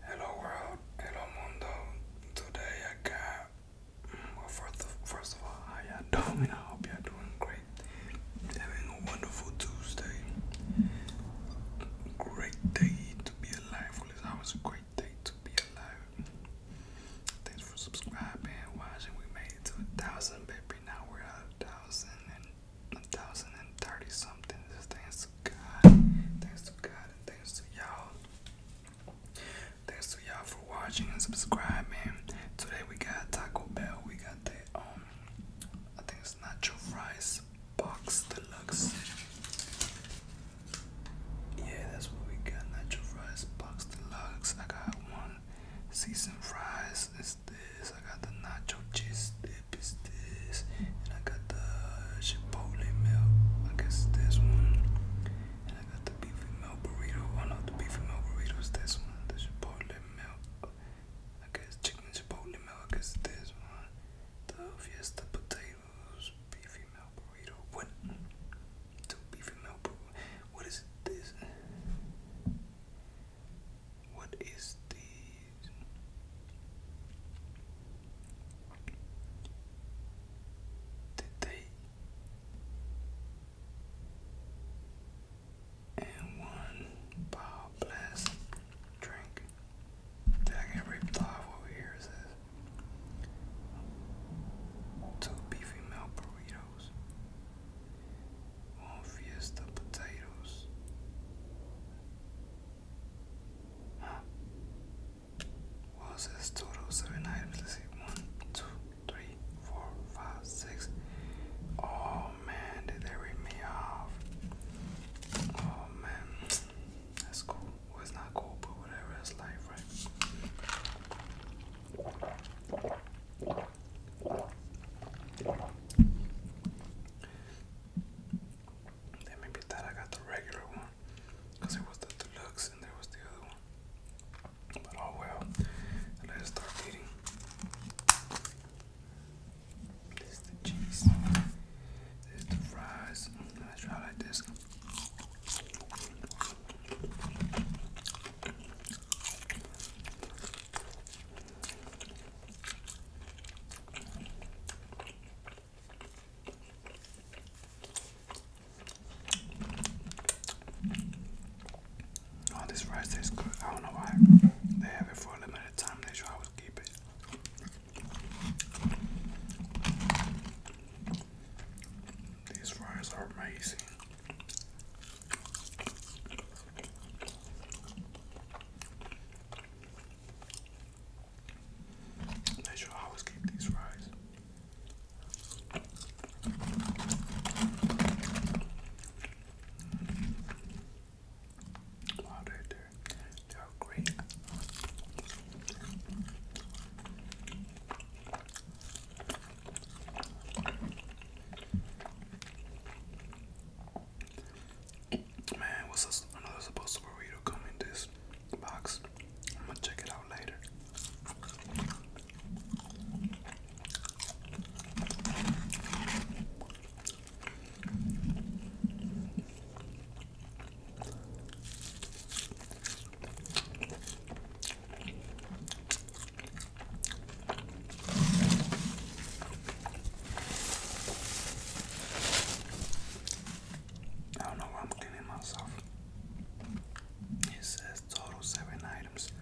Hello world, hello mundo. Today I got well first of, first of all, how y'all doing? I hope y'all doing great. Having a wonderful Tuesday. Great day to be alive. always a great day to be alive. Thanks for subscribing and watching. We made it to a thousand, baby. Now we're at a thousand and a thousand and thirty something. This thing is Thanks God. Thanks to God and thanks to y'all. Thanks to y'all for watching and subscribing. Today we got Taco Bell. We got the um I think it's nacho fries box deluxe. Yeah, that's what we got. Nacho fries box deluxe. I got one seasoned fries. It's this. I got the nacho cheese is this. And I got the chipotle milk. I guess this one. And I got the beefy milk burrito. Oh no, the beefy milk burrito this one. The chipotle milk. I guess chicken chipotle milk. I guess this one. The fiesta potatoes. Beefy milk burrito. What? Two beefy milk burrito. What is this? What is the did they and one power blast drink that get ripped off over here says two beefy milk burritos one fiesta potatoes Huh? Well, it total seven items. Let's see. One, two, three, four, five, six. Oh man, did they rip me off? Oh man, that's cool. Well, not cool, but whatever. That's life, right? Then maybe that I got the regular one. Because it was the deluxe and there was the other one. But oh well. Let's start eating. This the cheese. This the fries. Let's try like this. Oh, this rice tastes good. I don't know why they have it for a limited time. They should always keep it. These fries are amazing. I should always keep these fries. Wow, they're, they're great. Man, what's this another supposed to burrito come in this box? I'm gonna check it out later. I don't know why I'm kidding myself. It says total seven items.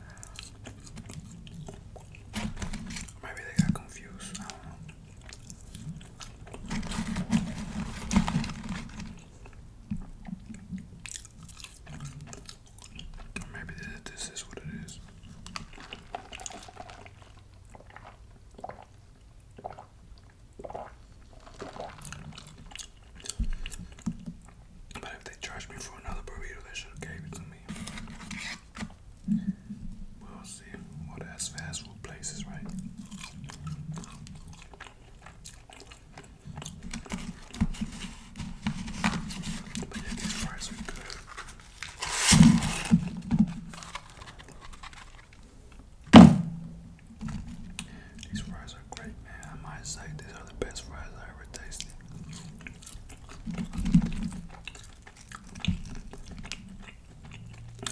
Maybe they got confused. I don't know. maybe this is what it is. But if they charge me for another burrito, they should have gave it to me. We'll see what as fast food places, right? But yeah, these fries are good. These fries are great, man. I might say these are the best fries I ever tasted.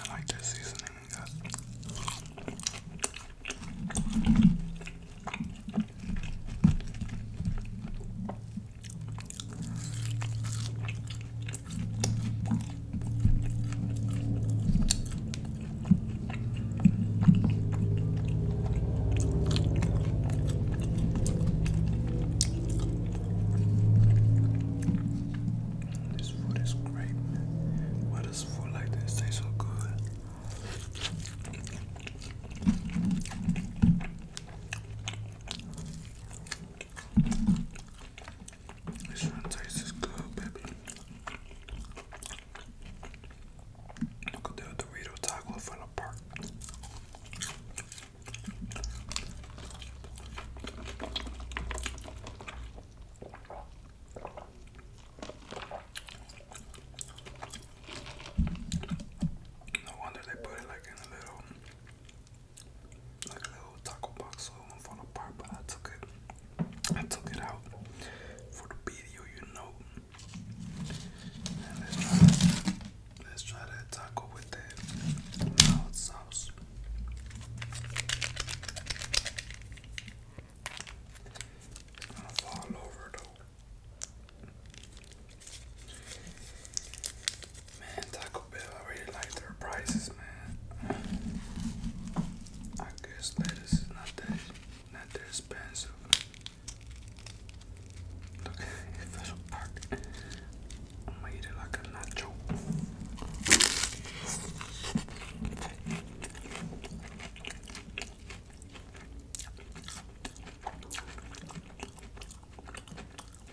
I like this seasoning we got. This food is great. Why does food like this taste so good? This one tastes good, baby. Look at the Dorito taco from the No wonder they put it like in a little like a little taco box, it won't apart. But I took it, I took it out for the video, you know. let's try, that. taco with that mild sauce. gonna fall over though. Man, Taco Bell, I really like their prices, man. I guess lettuce is not that not that expensive. Look, it fell I'm it like a nacho.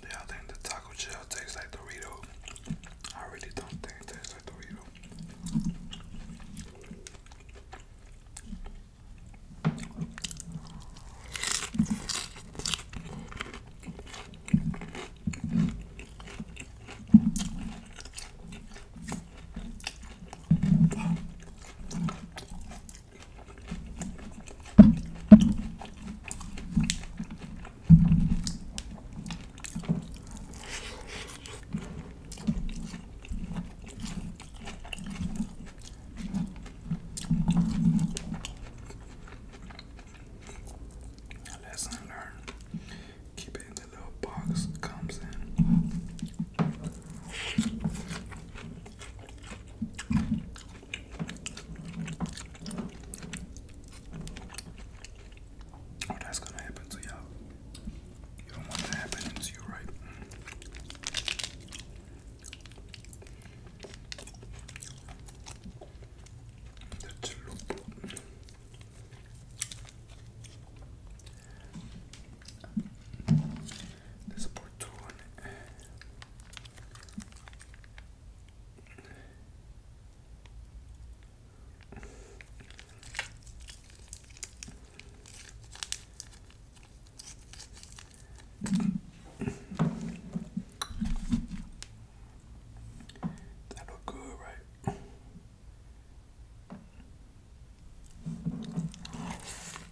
Yeah, I think the taco shell tastes like Dorito. I really don't think it tastes like Dorito. Lesson learned. Keep it in the little box it comes in. Oh, that's gonna happen to y'all. You don't want that happening to you, right? That's true. Nessa oportuna. That look good, right?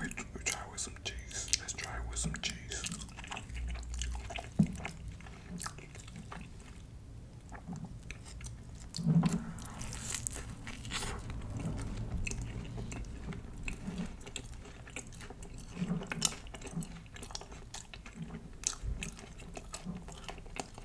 We, we try with some cheese. Let's try with some cheese.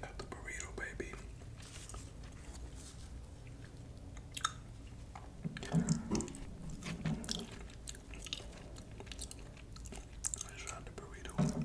Got the burrito, baby. I tried the burrito.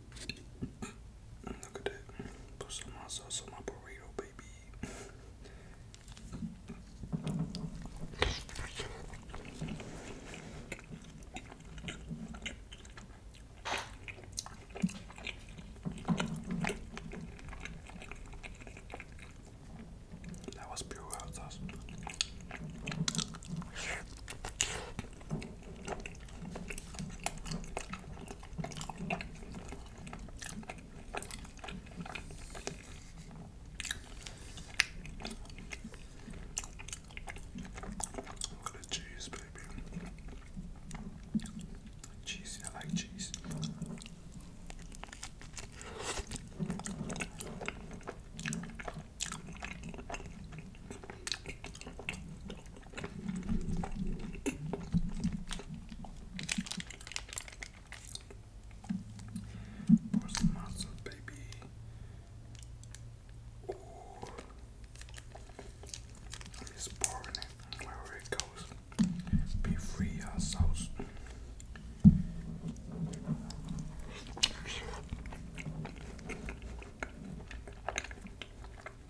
Look at that. Put some sauce on my burrito, baby. That was pure hot sauce. Look at the cheese, baby. Cheese, I like cheese. Pour baby. Ooh. I'm just it goes. Be free, our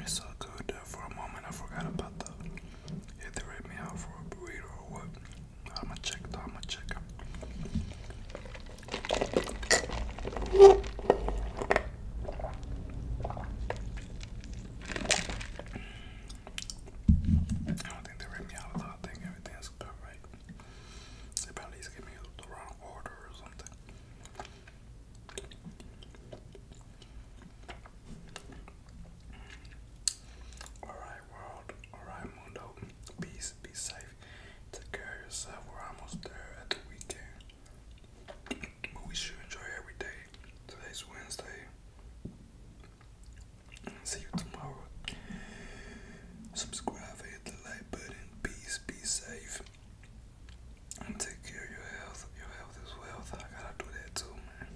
It's so good. for a moment, I forgot about the. If they rate me out for a burrito or what? I'ma check. I'ma check. I don't think they ripped me out I think everything's about right. They probably just gave me the wrong order or something. Alright, world. Alright, Mundo. Peace. Be safe. Take care of yourself. We're almost there at the weekend. But we should enjoy every day. Today's Wednesday. See you tomorrow. Subscribe, hit the like button. Peace, be safe. take care of your health. Your health is wealth. I gotta do that too, man.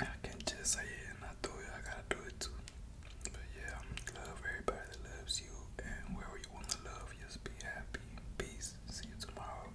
I can't just say it and not do it. I gotta do it too. But yeah, love everybody that loves you. And wherever you want to love, just be happy. Peace. See you tomorrow.